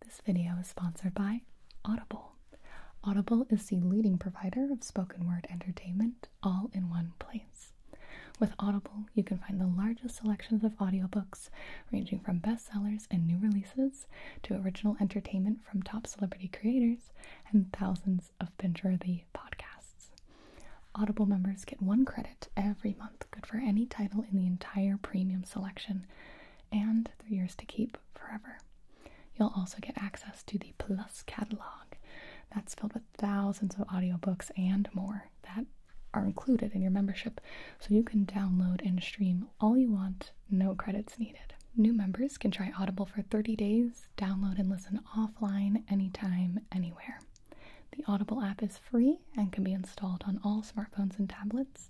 This video is sponsored by Audible. Audible is the leading provider of spoken word entertainment all in one place. With Audible, you can find the largest selections of audiobooks, ranging from bestsellers and new releases to original entertainment from top celebrity creators and thousands of binge-worthy podcasts. Audible members get one credit every month, good for any title in the entire premium selection, and they're yours to keep forever. You'll also get access to the Plus catalog that's filled with thousands of audiobooks and more that are included in your membership. So you can download and stream all you want, no credits needed. New members can try Audible for 30 days, download and listen offline, anytime, anywhere. The Audible app is free and can be installed on all smartphones and tablets.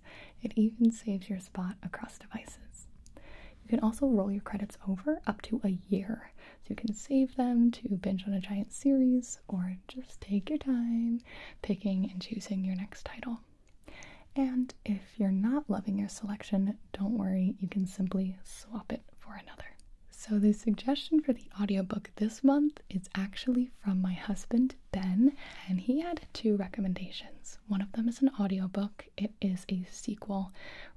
It even saves your spot across devices. You can also roll your credits over up to a year, so you can save them to binge on a giant series or just take your time picking and choosing your next title. And if you're not loving your selection, don't worry, you can simply swap it for another. So, the suggestion for the audiobook this month is actually from my husband, Ben, and he had two recommendations. One of them is an audiobook, it is a sequel,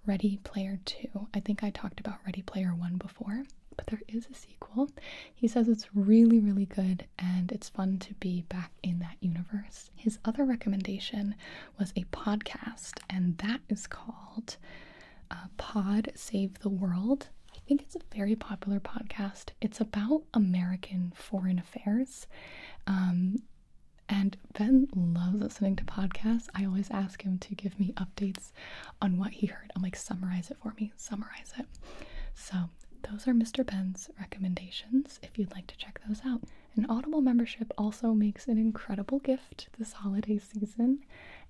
Ready Player 2. I think I talked about Ready Player 1 before, but there is a sequel. He says it's really, really good and it's fun to be back in that universe. His other recommendation was a podcast, and that is called uh, Pod Save the World. I think it's a very popular podcast. It's about American foreign affairs um, and Ben loves listening to podcasts. I always ask him to give me updates on what he heard. I'm like, summarize it for me, summarize it. So, those are Mr. Ben's recommendations if you'd like to check those out. An Audible membership also makes an incredible gift this holiday season,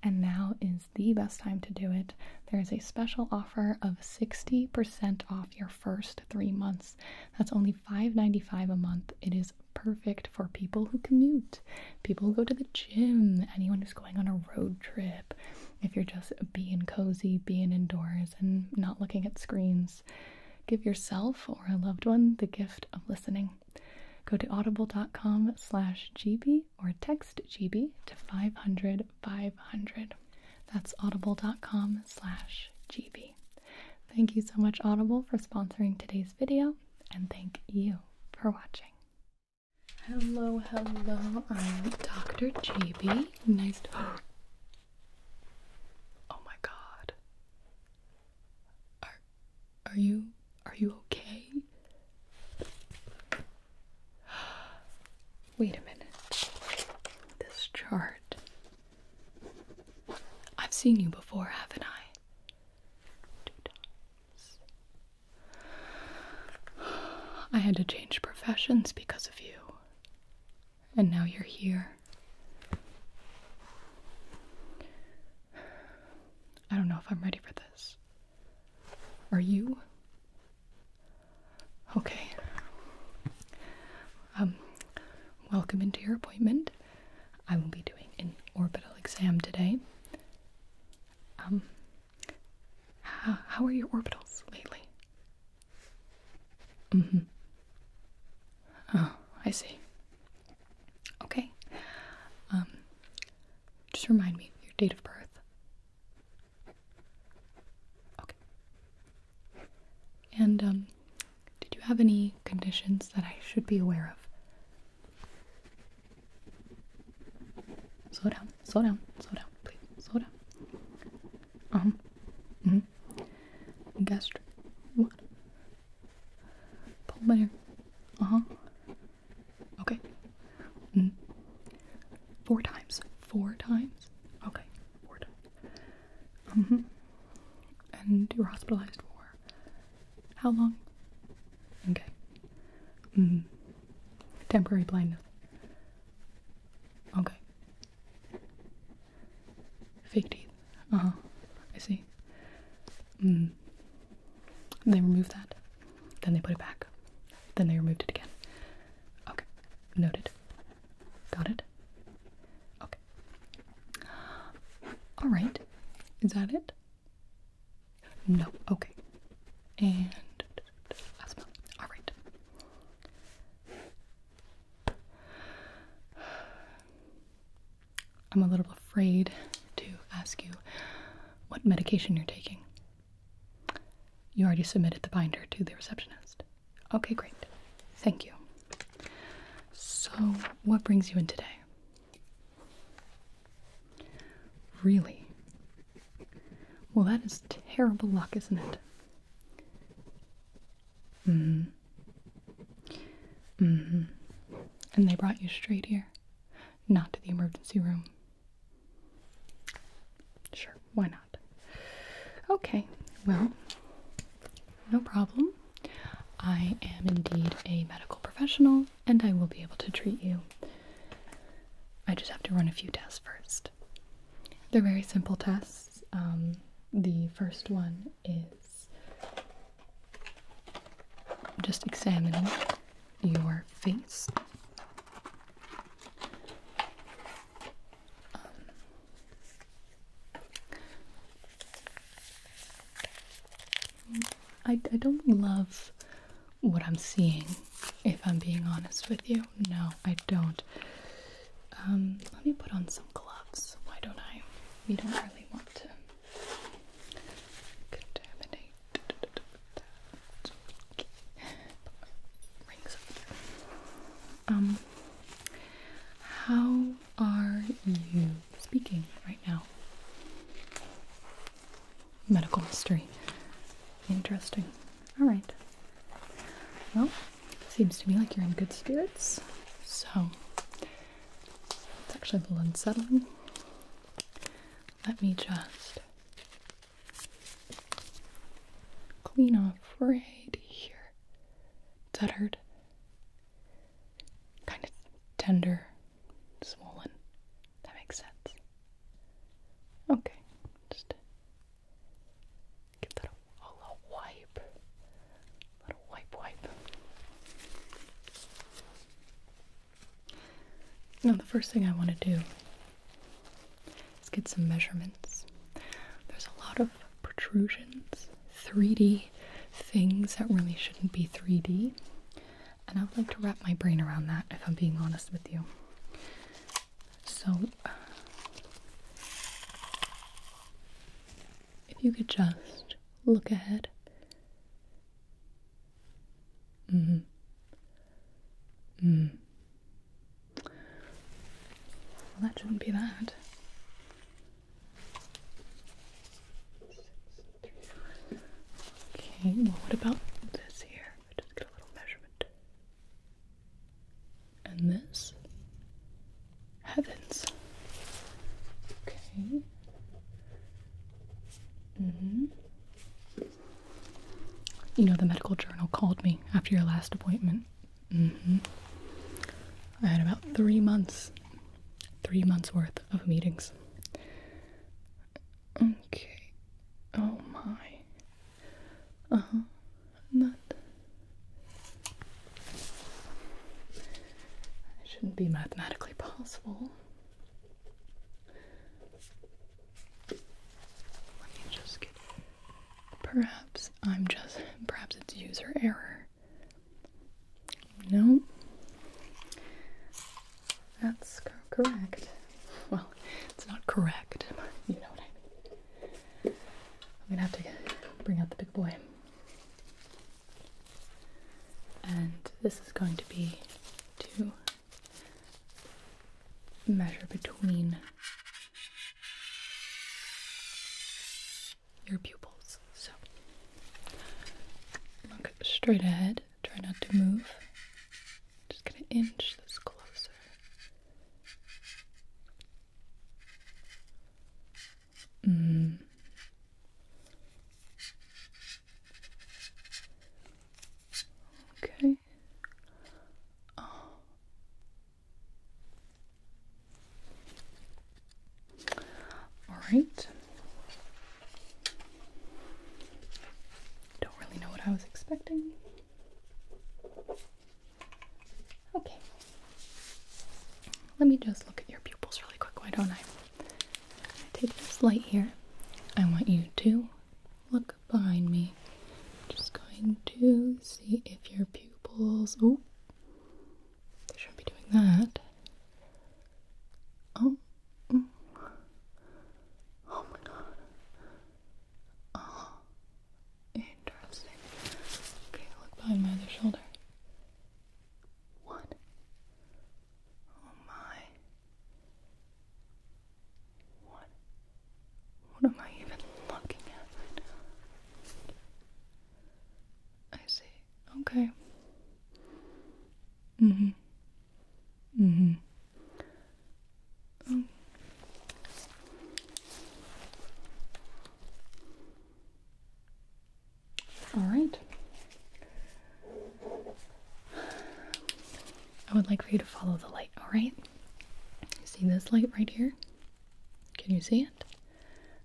and now is the best time to do it. There is a special offer of 60% off your first three months. That's only $5.95 a month. It is perfect for people who commute, people who go to the gym, anyone who's going on a road trip. If you're just being cozy, being indoors, and not looking at screens, give yourself or a loved one the gift of listening. Go to audible.com slash GB or text GB to 500 that's audible.com slash GB. Thank you so much, Audible, for sponsoring today's video, and thank you for watching. Hello, hello, I'm Dr. GB. Nice to. Oh my god. Are, are you. are you okay? Wait a minute. This chart. I've seen you before, haven't I? I had to change professions because of you. And now you're here. I don't know if I'm ready for this. Are you? Okay. Um, welcome into your appointment. I will be doing an orbital exam today. Um, how, are your orbitals lately? Mm hmm. Oh, I see. Okay. Um, just remind me your date of birth. Okay. And um, did you have any conditions that I should be aware of? Slow down, slow down, slow down, please, slow down. Um mm -hmm. gastric what? hair. Uh-huh. Okay. Mm. Four times. Four times. Mm-hmm. Okay, four times. Mm hmm. And you are hospitalized for how long? Okay. Mm -hmm. Temporary blindness. Okay. Fake teeth. Uh huh. I see. Mm. They removed that. Then they put it back. Then they removed it again. Okay. Noted. Got it? Okay. Alright. Is that it? No. Okay. And last one. Alright. I'm a little afraid to ask you what medication you're taking. You already submitted the binder to the receptionist. Okay, great. Thank you. So, what brings you in today? Really? Well, that is terrible luck, isn't it? Mm hmm. Mm hmm. And they brought you straight here, not to the emergency room. Sure, why not? Okay, well, no problem. I am indeed a medical professional and I will be able to treat you. I just have to run a few tests first. They're very simple tests. Um, the first one is just examining your face. Um, I, I don't love what I'm seeing, if I'm being honest with you. No, I don't. Um, let me put on some gloves. Why don't I? We don't really want to contaminate um, how are you speaking right now? Medical mystery. Interesting. All right. Well, seems to me like you're in good spirits. So, it's actually a little unsettling. Let me just Clean off right here. Tethered. Kind of tender, swollen. That makes sense. Okay, just give that a, little wipe. little wipe, wipe. Now, the first thing I want to do Let's get some measurements. There's a lot of protrusions, 3D things that really shouldn't be 3D. And I would like to wrap my brain around that if I'm being honest with you. So, if you could just look ahead. Mm hmm. Well, that shouldn't be that. Okay, well, what about this here? Just get a little measurement. And this? Heavens. Okay. Mm hmm. You know, the medical journal called me after your last appointment Mm -hmm. I had about three months, three months worth of meetings. Okay. Oh my. Uh huh. Not. That shouldn't be mathematically possible. Let me just Perhaps I'm just, perhaps it's user error. No, that's correct. Well, it's not correct, you know what I mean. I'm gonna have to bring out the big boy. And this is going to be to measure between your pupils. So look straight ahead. Try not to move. Just gonna inch this closer. Mm. Okay. Oh. All right. Don't really know what I was expecting. Okay. Let me just look at your pupils really quick, why don't I? I take this light here. I want you to look behind me. Just going to see if your pupils. Oh, they shouldn't be doing that. Oh, mm. oh my god. Oh, interesting. Okay, look behind my other shoulder. What? Oh my. What? What am I even looking at right now? I see. Okay. Mm hmm. Mm hmm. All right. I would like for you to follow the light, all right? You see this light right here? Can you see it?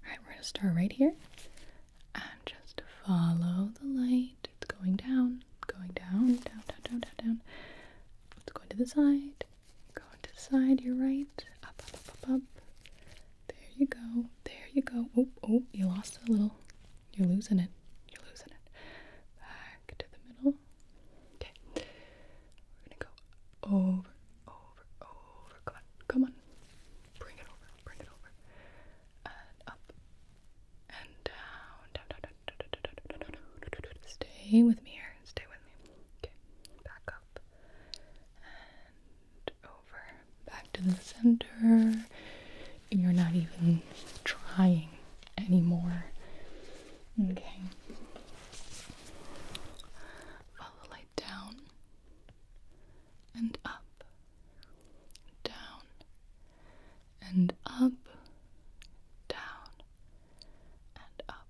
Alright, we're gonna start right here. And just follow the light. It's going down, going down, down, down, down, down, down. It's going to the side. Going to the side, you're right. Up, up, up, up, up. There you go. There you go. Oh, oh, you lost a little. You're losing it. You're losing it. Back to the middle. Okay. We're gonna go over, over, over. Come on, come on. Bring it over, bring it over. up and down, down, down, down, down, down, down, down, down, down. Stay with me here. Stay with me. Okay. Back up and over. Back to the center. You're not even trying anymore. Okay. Follow the light down and up, down and up, down and up.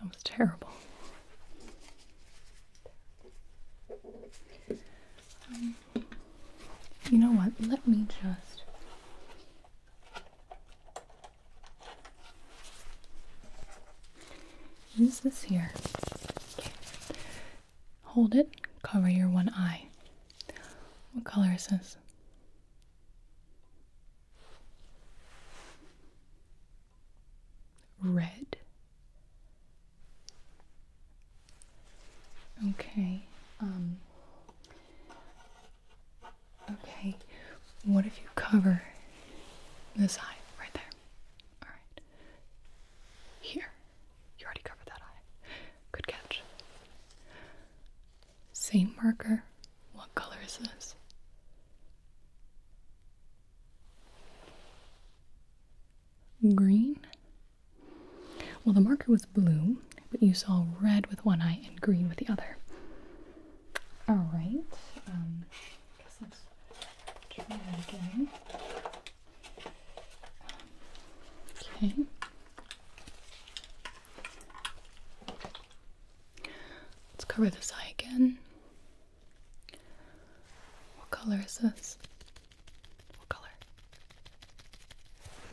That was terrible. Um, you know what? Let me just Use this here. Hold it, cover your one eye. What color is this? Red. Okay. Um, Okay, what if you cover this eye right there? Alright. Here. You already covered that eye. Good catch. Same marker. What color is this? Green? Well, the marker was blue, but you saw red with one eye and green with the other. Alright, um, let's try again. Okay. Let's cover this eye again. What color is this? What color?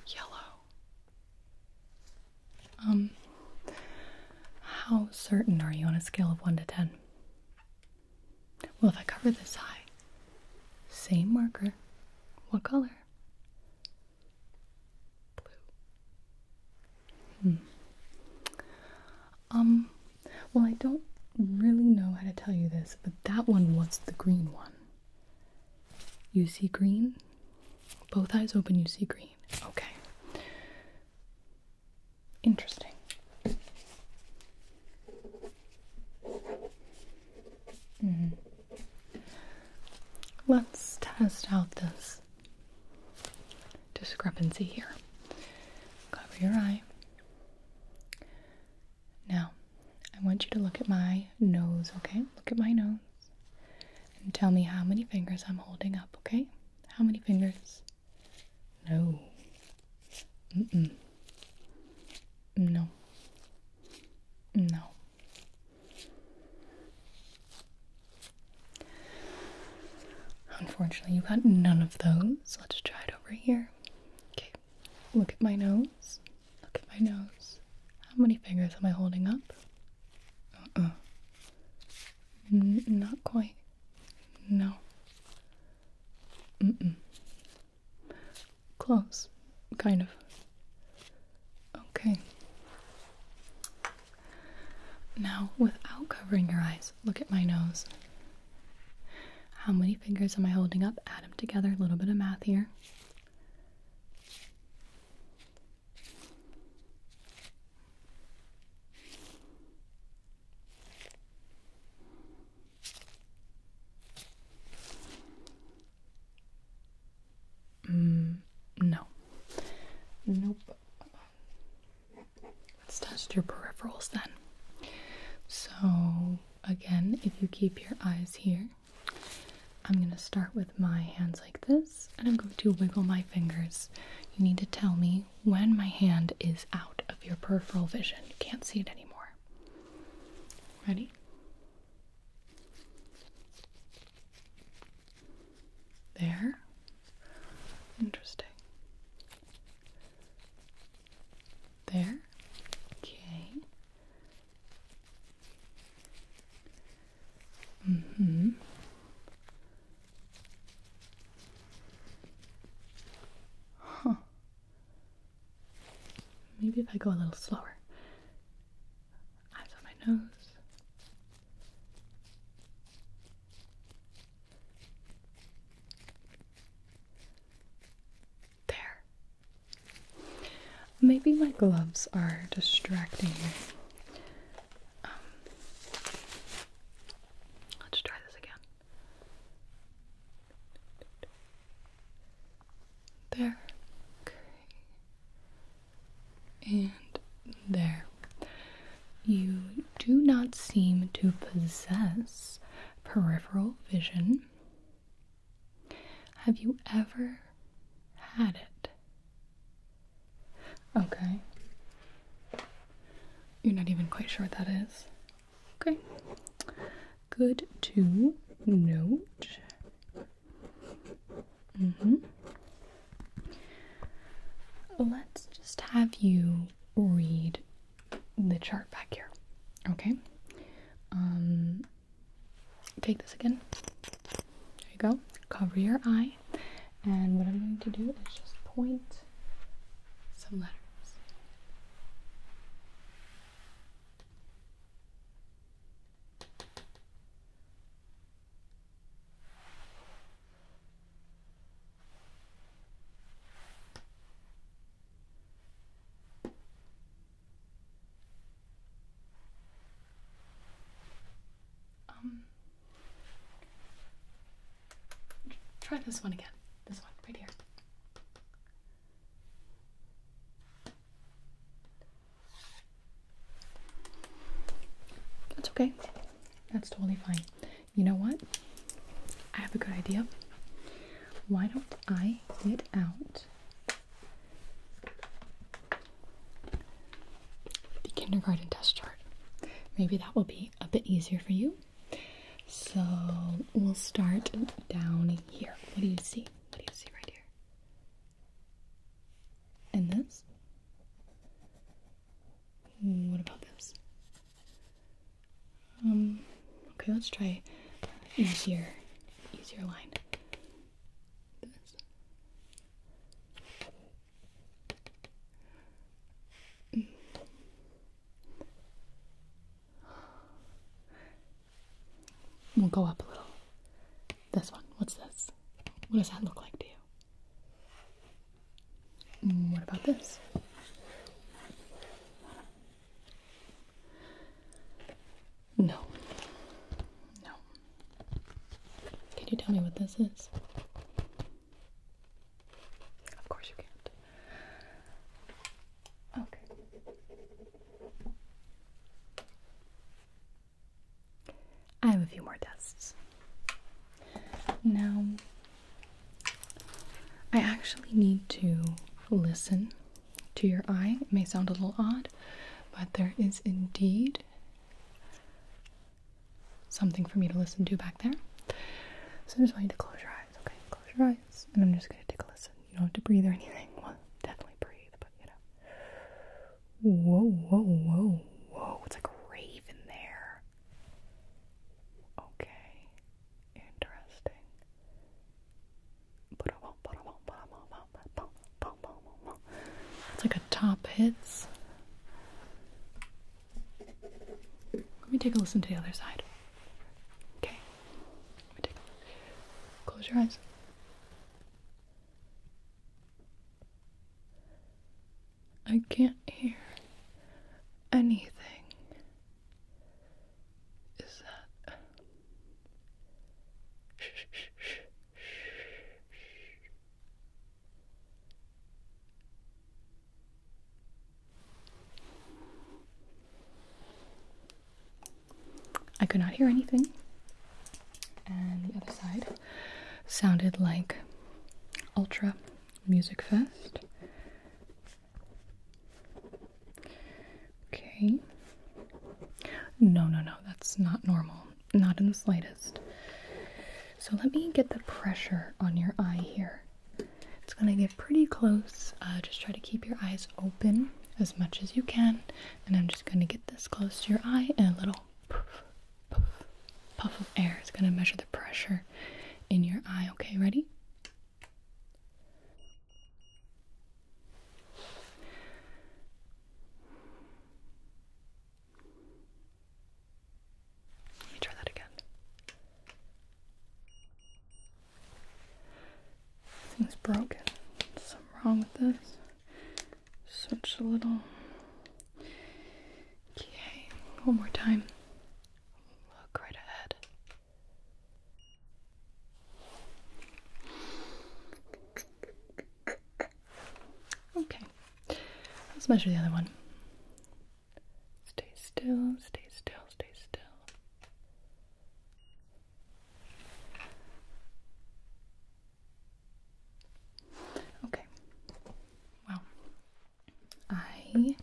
Yellow. Um, how certain are you on a scale of 1 to 10? Well, if I cover this eye, same marker, what color? Blue. Hmm. Um, well, I don't really know how to tell you this, but that one was the green one. You see green? Both eyes open, you see green. Okay. Interesting. Mm-hmm. Let's test out this discrepancy here. Cover your eye. Now, I want you to look at my nose, okay? Look at my nose. And tell me how many fingers I'm holding up, okay? How many fingers? No. Mm mm. No. No. Unfortunately, you got none of those. Let's try it over here. Okay, look at my nose. Look at my nose. How many fingers am I holding up? Uh-uh. not quite. No. Mm-mm. Close. Kind of. Okay. Now, without covering your eyes, look at my nose. How many fingers am I holding up? Add them together, a little bit of math here. Mm, no. Nope. Let's test your peripherals then. So, again, if you keep your eyes here, I'm going to start with my hands like this and I'm going to wiggle my fingers. You need to tell me when my hand is out of your peripheral vision. You can't see it anymore. Ready? There. Interesting. There. Okay. Mm mm-hmm. Huh. Maybe if I go a little slower. Eyes on my nose. There. Maybe my gloves are distracting me. Um, let's try this again. There. Okay. And there. You do not seem to possess peripheral vision. Have you ever had it? Okay. You're not even quite sure what that is. Okay. Good to note. Mm hmm. Let's just have you read the chart back here. Okay. Um, Take this again. There you go. Cover your eye. And what I'm going to do is just point some letters. Um, try this one again. This one, right here. That's okay. That's totally fine. You know what? I have a good idea. Why don't I get out the kindergarten test chart. Maybe that will be a bit easier for you. So we'll start down here. What do you see? What do you see right here? And this? Hmm, what about this? Um, okay, let's try easier, easier line this. We'll go up a little. This one. What's this? What does that look like to you? Mm, what about this? No. No. Can you tell me what this is? Of course you can't. Okay. I have a few more tests. Now, I actually need to listen to your eye. It may sound a little odd, but there is indeed something for me to listen to back there. So I just want you to close your eyes, okay? Close your eyes, and I'm just going to take a listen. You don't have to breathe or anything. Well, definitely breathe, but you know. Whoa, whoa, whoa, whoa. It's like a rave in there. Okay. Interesting. It's like a top hits. Let me take a listen to the other side. Okay. Let me take a look. Close your eyes. I can't hear anything. Is that I could not hear anything, and the other side sounded like Ultra Music Fest. Okay. No, no, no, that's not normal. Not in the slightest. So let me get the pressure on your eye here. It's going to get pretty close. Uh, just try to keep your eyes open as much as you can. And I'm just going to get this close to your eye and a little puff, puff of air is going to measure the pressure in your eye. Okay, ready? Let me try that again. Thing's broken. Something wrong with this. Such a little. Okay, one more time. Look right ahead. Okay, let's measure the other one. Stay still, stay still, stay still. Okay, well, I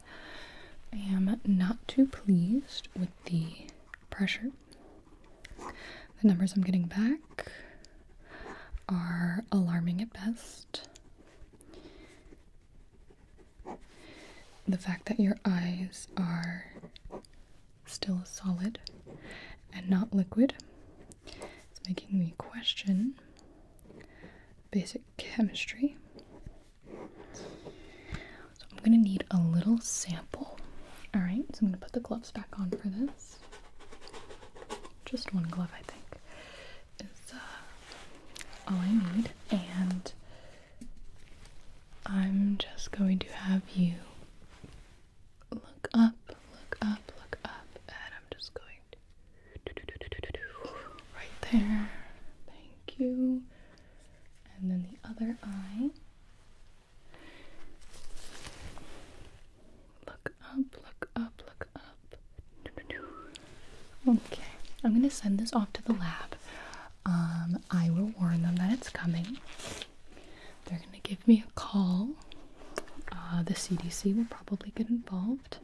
am not too pleased with the pressure the numbers I'm getting back are alarming at best. The fact that your eyes are still solid and not liquid is making me question basic chemistry. I'm going to need a little sample all right, so I'm going to put the gloves back on for this. Just one glove, I think, is uh, all I need. And I'm just going to have you look up, look up, look up, and I'm just going to do, do, do, do, do, do, right there. Thank you. And then the other eye. Look up, look up, look up. Okay, I'm gonna send this off to the lab. Um, I will warn them that it's coming. They're gonna give me a call. Uh, the CDC will probably get involved.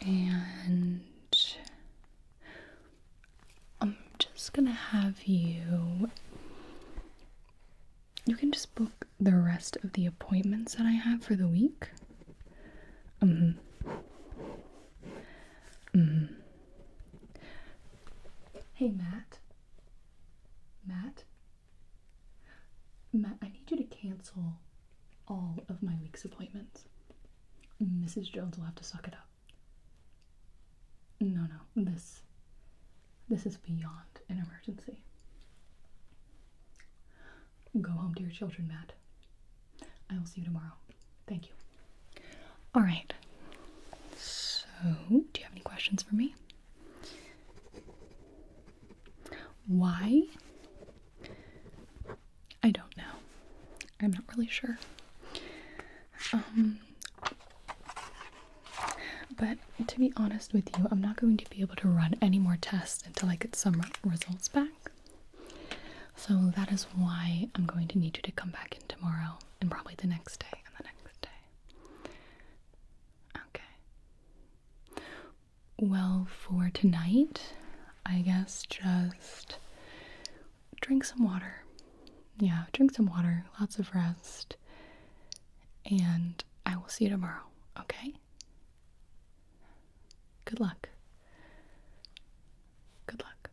And I'm just gonna have you you can just book the rest of the appointments that I have for the week. Um. Mm. Hey, Matt. Matt. Matt, I need you to cancel all of my week's appointments. Mrs. Jones will have to suck it up. No, no. This this is beyond an emergency. Go home to your children, Matt. I will see you tomorrow. Thank you. All right. So, do you have any questions for me? Why? I don't know. I'm not really sure. Um, but to be honest with you, I'm not going to be able to run any more tests until I get some results back. So that is why I'm going to need you to come back in tomorrow and probably the next day and the next day. Okay. Well, for tonight, I guess just drink some water yeah, drink some water, lots of rest, and I will see you tomorrow, okay? Good luck. Good luck.